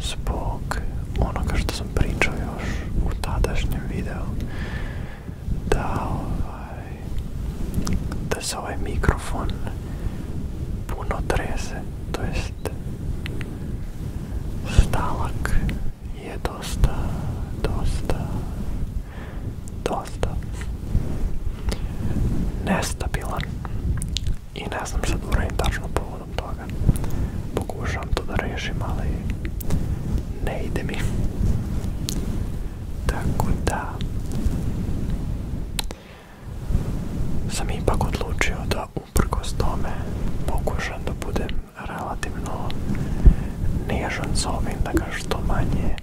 zbog onoga što sam pričao još u tadašnjem videu da ovaj, da se ovaj mikrofon puno trese, to jest stalak je dosta, dosta, dosta nestabilan I ne znam šta da uradim tačno povodom toga. Pokušavam to da rešim, ali ne ide mi. Tako da sam ipak odlučio da uprkos tome pokušam da budem relativno nežan s ovim, da ga što manje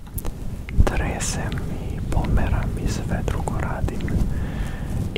tresem i pomeram i sve drugo radim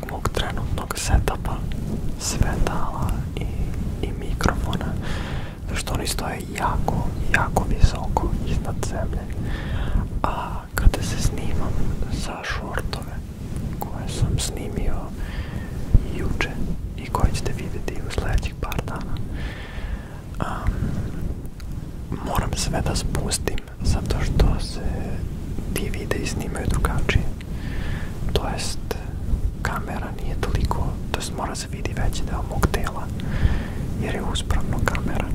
tog mog trenutnog setupa, svetala i, i mikrofona, što oni stoje jako, jako visoko iznad zemlje. A kada se snimam za šortove koje sam snimio juče i koje ćete vidjeti u sljedećih par dana, um, moram sve da spustim zato što se ti videi snimaju drugačije to jest kamera nije toliko, to jest mora se vidi veći deo mog tela jer je uspravno kamera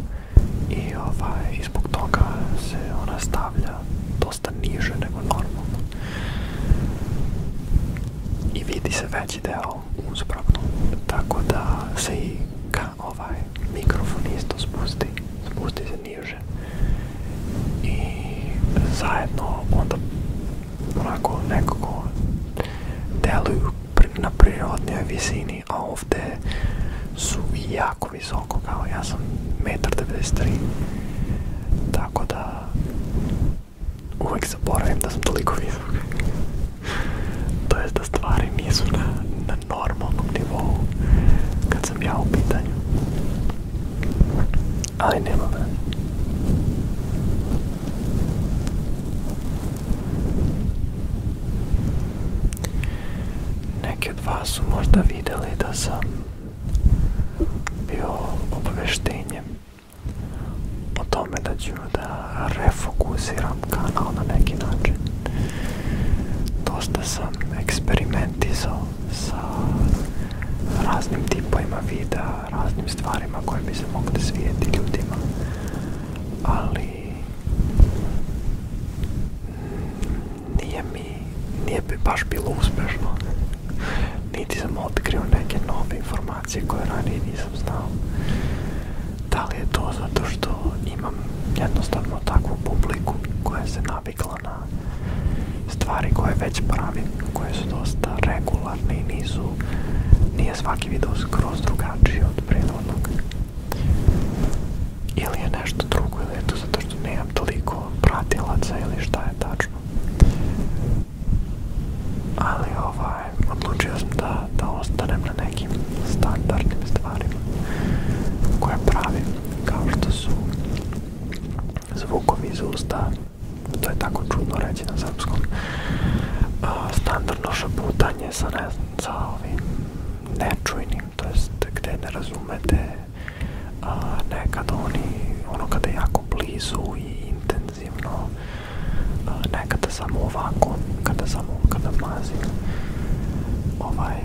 i ovaj, zbog toga se ona stavlja dosta niže nego normalno i vidi se veći deo uspravno tako da se i ka, ovaj mikrofon isto spusti spusti se niže može i zajedno onda onako nekako deluju na prirodnoj visini, a ovdje su jako visoko, kao ja sam 1,93 m, tako da uvijek zaboravim da sam toliko visok. to jest da stvari nisu na, na normalnom nivou kad sam ja u pitanju. Einnehmerin Neki od vas su možda vidjeli da sam bio obveštenjem o tome da ću da refokusiram kanal na neki način. Dosta sam eksperimentisao sa raznim tipovima videa, raznim stvarima koje bi se mogle svijeti ljudima, ali nije mi, nije bi baš bilo uspešno. Niti sam otkrio neke nove informacije koje ranije nisam znao. Da li je to zato što imam jednostavno takvu publiku koja se navikla malo na stvari koje već pravim, koje su dosta regularne i nisu, nije svaki video skroz drugačiji od prethodnog. Ili je nešto drugo, ili je to zato što nemam toliko pratilaca ili šta je tačno. Ali ovaj, odlučio sam da, da ostanem na nekim standardnim stvarima koje pravim, kao što su zvukovi iz usta, to je tako čudno reći na srpskom, uh, standardno šaputanje sa, ne, sa ovim nečujnim, to jest gde ne razumete uh, nekad oni, ono kada je jako blizu i intenzivno, uh, nekada samo ovako, kada samo, kada mazim, ovaj,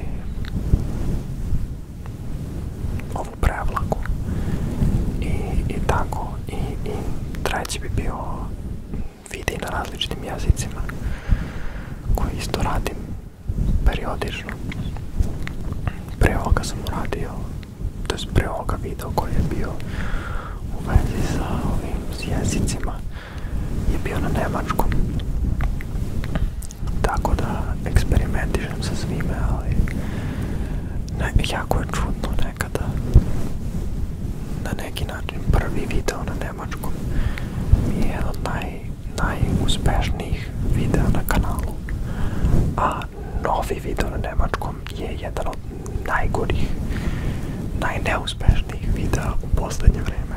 ovu prevlaku i, i tako i, i treći bi bio vidi na različitim jezicima koji isto radim periodično pre ovoga sam uradio to je pre ovoga video koji je bio u vezi sa ovim jezicima je bio na nemačkom tako da eksperimentišem sa svime ali ne, jako je čudno nekada na neki način prvi video na nemačkom je jedan od naj, najuspešnijih videa na kanalu a novi video na nemačkom je jedan od najgorih najneuspešnijih videa u posljednje vrijeme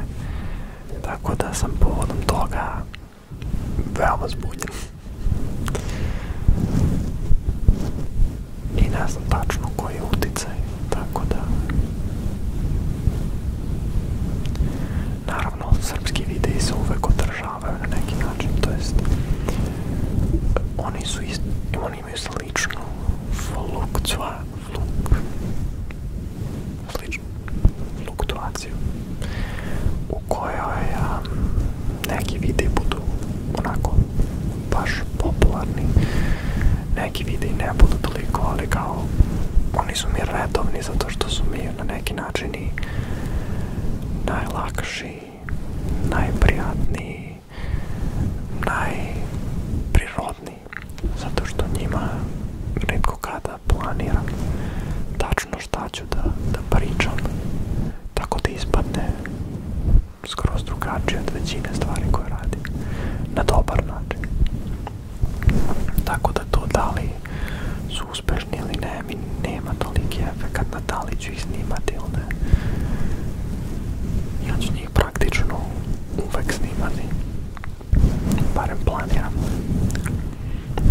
tako da sam povodom toga veoma zbunjen I ne znam tačno koji je uticaj, tako da... Naravno, srpski videi se uvek održavaju na neki način, to jest oni su ist, oni imaju sličnu fluktua, fluk, sličnu fluktuaciju u kojoj um, neki videi budu onako baš popularni, neki videi ne budu toliko, ali kao oni su mi redovni zato što su mi na neki način i najlakši, najprijatniji, najprirodniji, zato što njima redko kada planiram tačno šta ću da, da pričam tako da ispadne skroz drugačije od većine stvari koje radi na dobar način tako da to da li su uspešni ili ne mi nema toliki efekt na da li ću ih snimati ili ne ja ću njih praktično uvek snimati barem planiram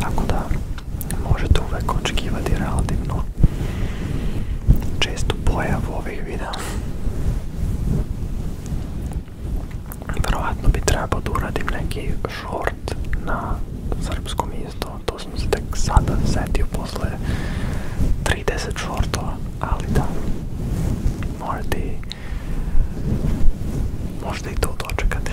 tako da možete uvek očekivati relativno čestu pojavu ovih videa. Verovatno bi trebao da uradim neki short na srpskom isto, to sam se tek sada setio posle 30 shortova, ali da, možete i, možda i to dočekati.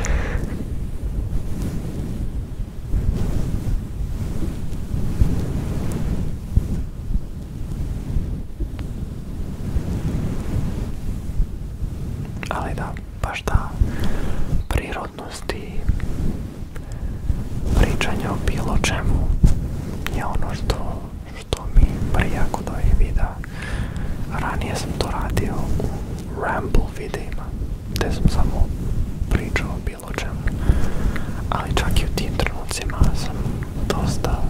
Ali da, baš ta prirodnost i pričanje o je ono što, što mi prija kod da ovih videa. Ranije sam to radio ramble videima, gde sam samo pričao bilo čemu. Ali čak i u tim trenucima sam dosta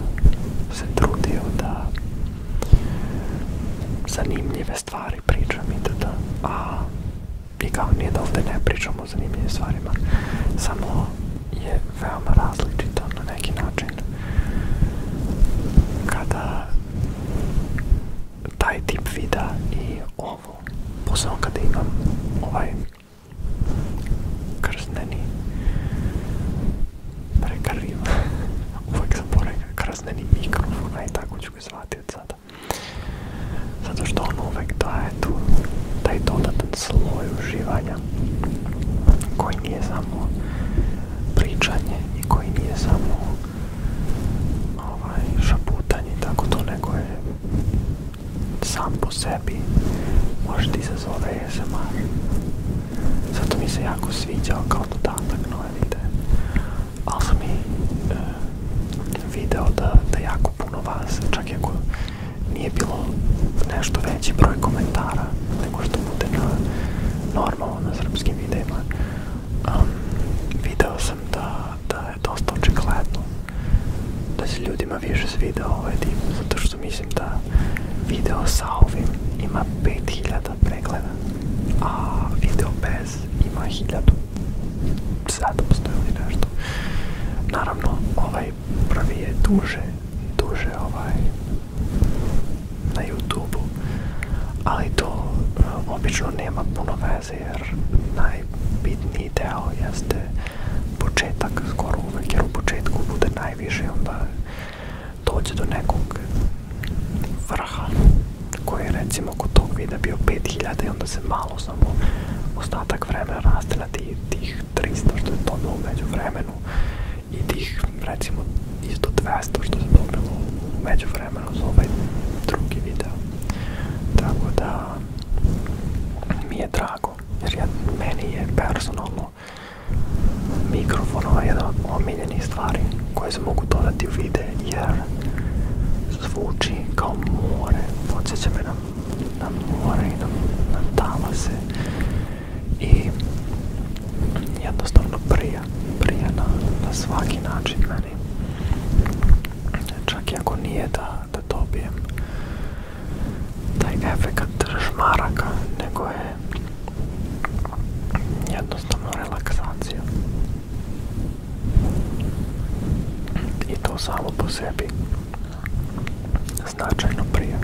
se trudio da zanimljive stvari pričam i da, da, a i kao nije da ovde ne pričam o zanimljivim stvarima, samo je veoma različito na neki način kada taj tip vida i o ovo posebno kada imam ovaj krzneni prekariv uvek sam porekao krzneni mikrofon a i tako ću ga zvati od sada zato što on uvek daje tu taj dodatan sloj uživanja koji nije samo pričanje i koji nije samo ovaj, šaputanje i tako to nego je sam po sebi može ti izazove ASMR. Zato mi se jako sviđao kao dodatak nove videe. Ali sam i e, video da, da jako puno vas, čak i ako nije bilo nešto veći broj komentara nego što bude na normalno na srpskim videima, um, video sam da, da je dosta očigledno da se ljudima više svidao ovaj dim, zato što mislim da video sa ovim ima 5000 pregleda, a video bez ima 1700 ili nešto. Naravno, ovaj prvi je duže, duže ovaj na YouTube-u, ali to e, obično nema puno Jer najbitniji deo jeste početak, skoro uvek, jer u početku bude najviše, onda dođe do nekog vrha koji je recimo kod tog videa bio 5000 i onda se malo samo ostatak vremena raste na tih, tih 300 što je dobilo među vremenu i tih recimo isto 200 što je dobilo među vremenu za ovaj drugi video. Tako da mi je drago jer ja, meni je personalno mikrofon ovaj jedan stvari koje se mogu dodati u vide jer zvuči kao more, podsjeća me na, na more i na, na talase i jednostavno prija, prija na, na svaki način meni. Čak i ako nije da da dobijem taj efekt šmaraka, nego je jednostavno relaksacija. I to samo po sebi značajno prije.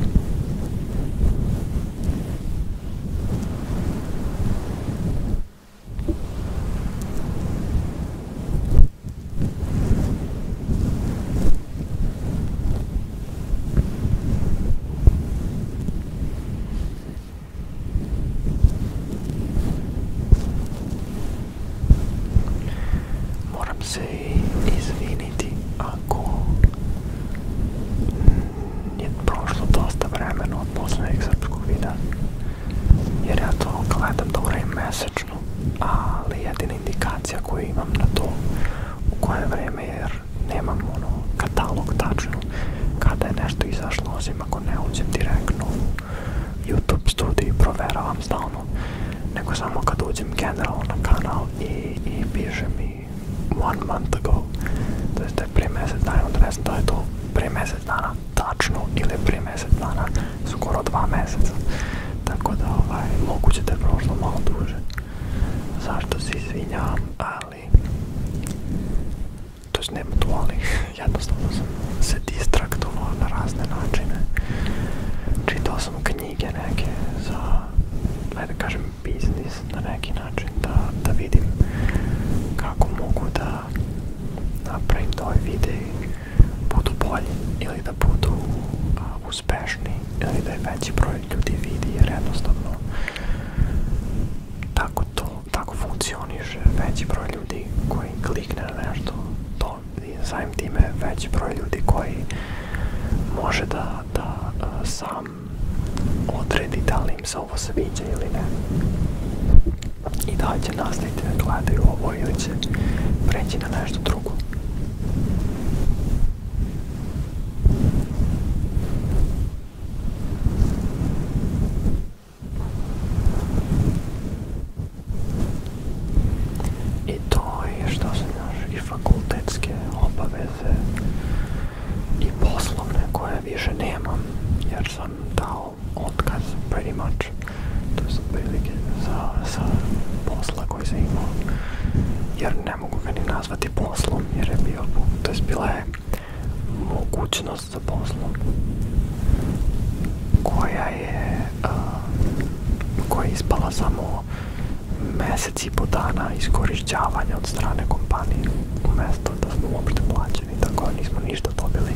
Moram se izviniti ako je prošlo dosta vremena od poslednjeg srpskog videa jer ja to gledam da uravim mesec tačno, ali jedina indikacija koju imam na to u koje vreme, jer nemam ono katalog tačno kada je nešto izašlo, osim ako ne uđem direktno u YouTube studiju i proveravam stalno, nego samo kad uđem generalno na kanal i, i piše mi one month ago, to da je pre mesec dana, odresno da je to pre mesec dana tačno ili pre mesec dana skoro dva meseca Tako da ovaj, moguće da je prošlo malo duže. Zašto se izvinjam, ali... To je nema tu, ali jednostavno sam se distraktovao na razne načine. Čitao sam knjige neke za, ajde da kažem, biznis na neki način, da, da vidim kako mogu da napravim da ovaj videi budu bolji ili da budu a, uspešni ili da je veći broj ljudi vidi jer jednostavno tako to, tako funkcioniše veći broj ljudi koji klikne na nešto to i samim time veći broj ljudi koji može da, da a, sam odredi da li im se ovo sviđa ili ne i da li će nastaviti da gledaju ovo ili će preći na nešto drugo. I to je što se naš i fakultetske obaveze i poslovne koje više nemam jer sam dao otkaz pretty much. To su prilike za, za posla koji sam imao, jer ne mogu ga ni nazvati poslom, jer je bio, to je bila je mogućnost za poslom koja je, a, koja je ispala samo mesec i po dana iskorišćavanja od strane kompanije, umesto da smo uopšte plaćeni, tako da nismo ništa dobili.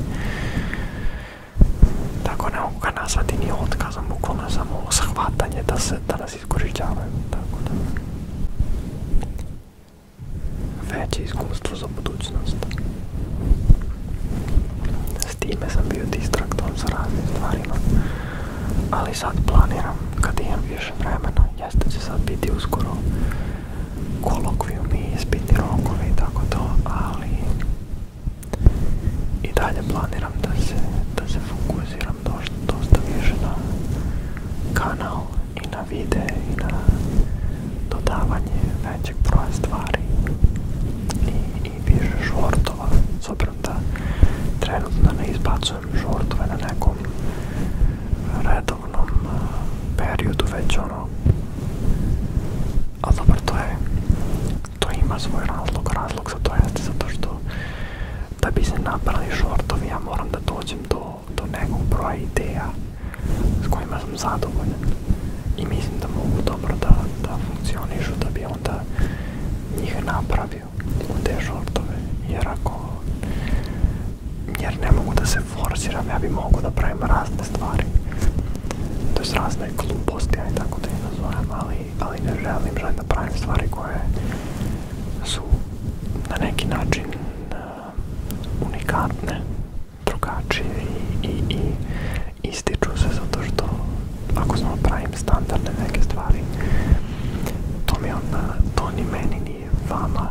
tako neukana sa tými odkazom uklona samo shvatanje da se danas iskorištavaju. Tako da. Veće iskustvo za budućnost. S time sam bio distraktom sa raznim stvarima, ali sad planiram, kad imam više vremena, jeste će sad biti uskoro kolokvijum i ispitni rokovi tako to, ali i dalje planiram da se, da se fokusiram dosta, dosta više na kanal i na vide i na dodavanje većeg broja stvari i, i više shortova s obzirom da trenutno ne izbacujem shortove na nekom redovnom periodu već ono ali dobro to je to ima svoj razlog, razlog za to jeste zato što da bi se napravili shortovi ja moram da dođem do, do nekog broja ideja s kojima sam zadovoljan i mislim da mogu dobro da, da funkcionišu da bi onda njih napravio u te shortove jer ako jer ne mogu da se forsiram ja bi mogu da pravim razne stvari to je razne gluposti aj tako da je nazovem ali ali ne želim, želim da pravim stvari koje su na neki način uh, unikatne, drugačije i, i, i ističu se zato što ako samo pravim standardne neke stvari, to mi onda, to ni meni ni vama,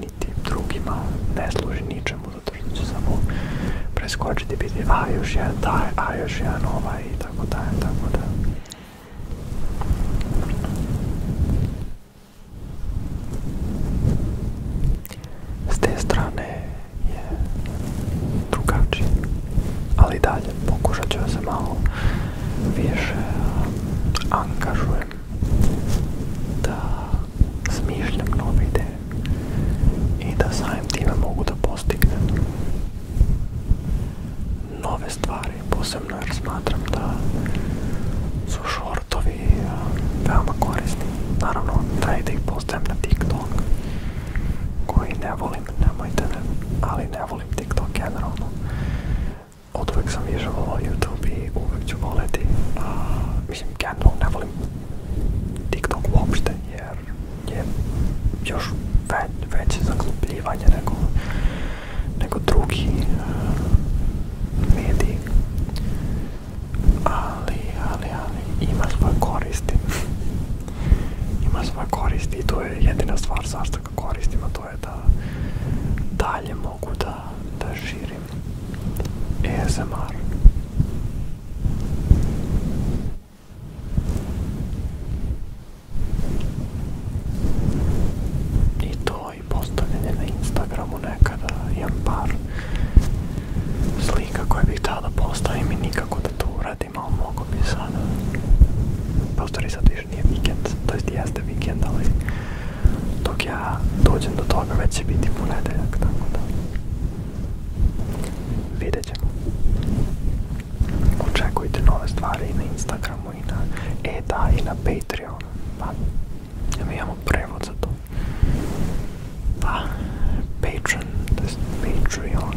niti drugima ne služi ničemu zato što će samo preskočiti biti a još jedan taj, a još jedan ovaj tako da je, tako da. S te strane je drugačije, ali i dalje pokušat ću da se malo više angažujem, da smišljam nove ideje i da samim time mogu da postignem nove stvari. Posebno jer smatram da su shortovi veoma korisni. Naravno, taj da ih postajem na TikTok koji ne volim, nemojte ne, ali ne volim TikTok generalno. Od uvek sam više volao YouTube i uvek ću voleti. A, mislim, generalno ne volim TikTok uopšte jer je još veće zaglupljivanje nego, nego drugi e, mediji. Ali, ali, ali, ima svoje koristi. ima svoje koristi i to je jedina stvar zašto ga koristim, a to je da dalje mogu da, da širim ASMR. E I to i postavljanje na Instagramu nekada imam par slika koje bih tada postavim i nikako da to uradim, ali mogu bi sada. Pa u stvari sad više nije vikend, to jest jeste vikend, ali dok ja dođem do toga već će biti ponedeljak, tako da vidjet ćemo. Očekujte nove stvari i na Instagramu i na e da i na Patreon Pa, mi imamo prevod za to. Pa, Patreon, to jest Patreon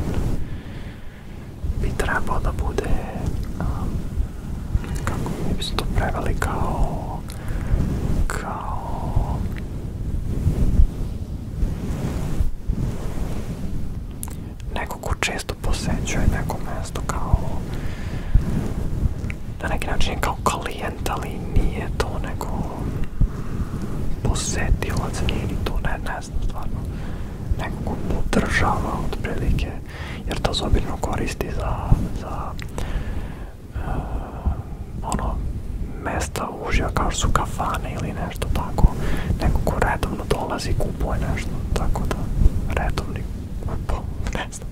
bi trebao da bude um, kako mi bi se to preveli kao neko ko često posećuje neko mesto kao na neki način kao klijent, ali nije to neko posetilac, nije ni to, ne, ne znam stvarno, neko ko podržava otprilike, jer to se koristi za, za uh, ono, mesta uživa kao su kafane ili nešto tako, nego ko redovno dolazi kupuje nešto, tako da redovni, pa ne znam,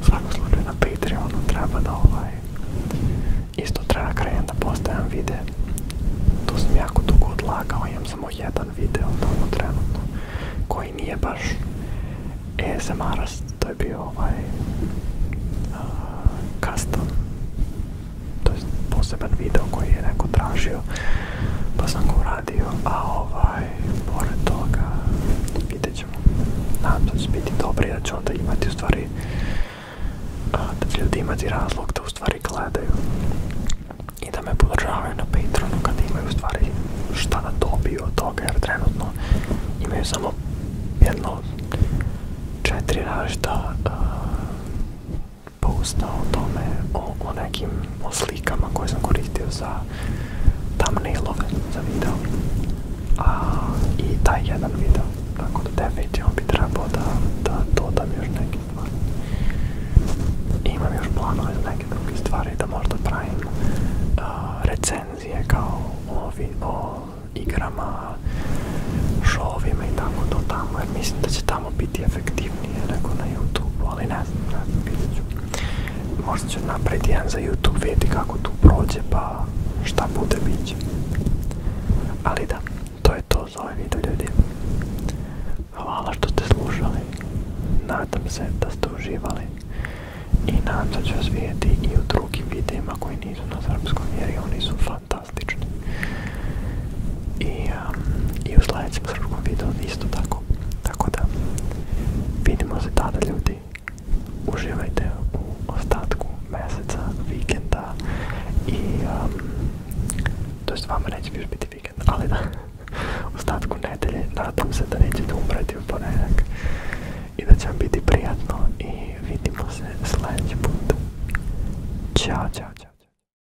u svakom slučaju na Patreonu treba da ovaj, isto treba krenem da postavljam vide, to sam jako dugo odlagao, imam samo jedan video tamo trenutno, koji nije baš ASMR-ast, e to je bio ovaj, uh, custom to je poseban video koji je neko tražio pa sam ga uradio a ovaj pored toga vidjet ćemo nadam da će biti dobri da će onda imati u stvari da će ljudi imati razlog da u stvari gledaju i da me podržavaju na Patreonu kad imaju u stvari šta da dobiju od toga jer trenutno imaju samo jedno četiri različita uh, posta o tome, o, o nekim o slikama koje sam koristio za thumbnailove za video. A, I taj jedan video. Tako da definitivno bi trebao da, da dodam još neke stvari. Imam još planove za neke druge stvari da možda pravim uh, recenzije kao o, o igrama, šovima i tako do tamo jer mislim da će ta tamo biti efektivnije nego na YouTube, ali ne znam, ne znam, vidjet ću. Možda ću napraviti jedan za YouTube, vidjeti kako tu prođe, pa šta bude, bit će. Ali da, to je to za ovaj video, ljudi. Hvala što ste slušali. Nadam se da ste uživali. I nadam se da ću vas vidjeti i u drugim videima koji nisu na srpskom, jer oni su fantastični. I a, i u sljedećem srpskom videu isto tako. Tako da vidimo se tada ljudi. Uživajte u ostatku mjeseca, vikenda i um, to jest vama neće još biti vikend, ali da u ostatku nedelje nadam se da nećete umreti u ponedjeljak i da će vam biti prijatno i vidimo se sljedeći put. Ćao, čao, čao.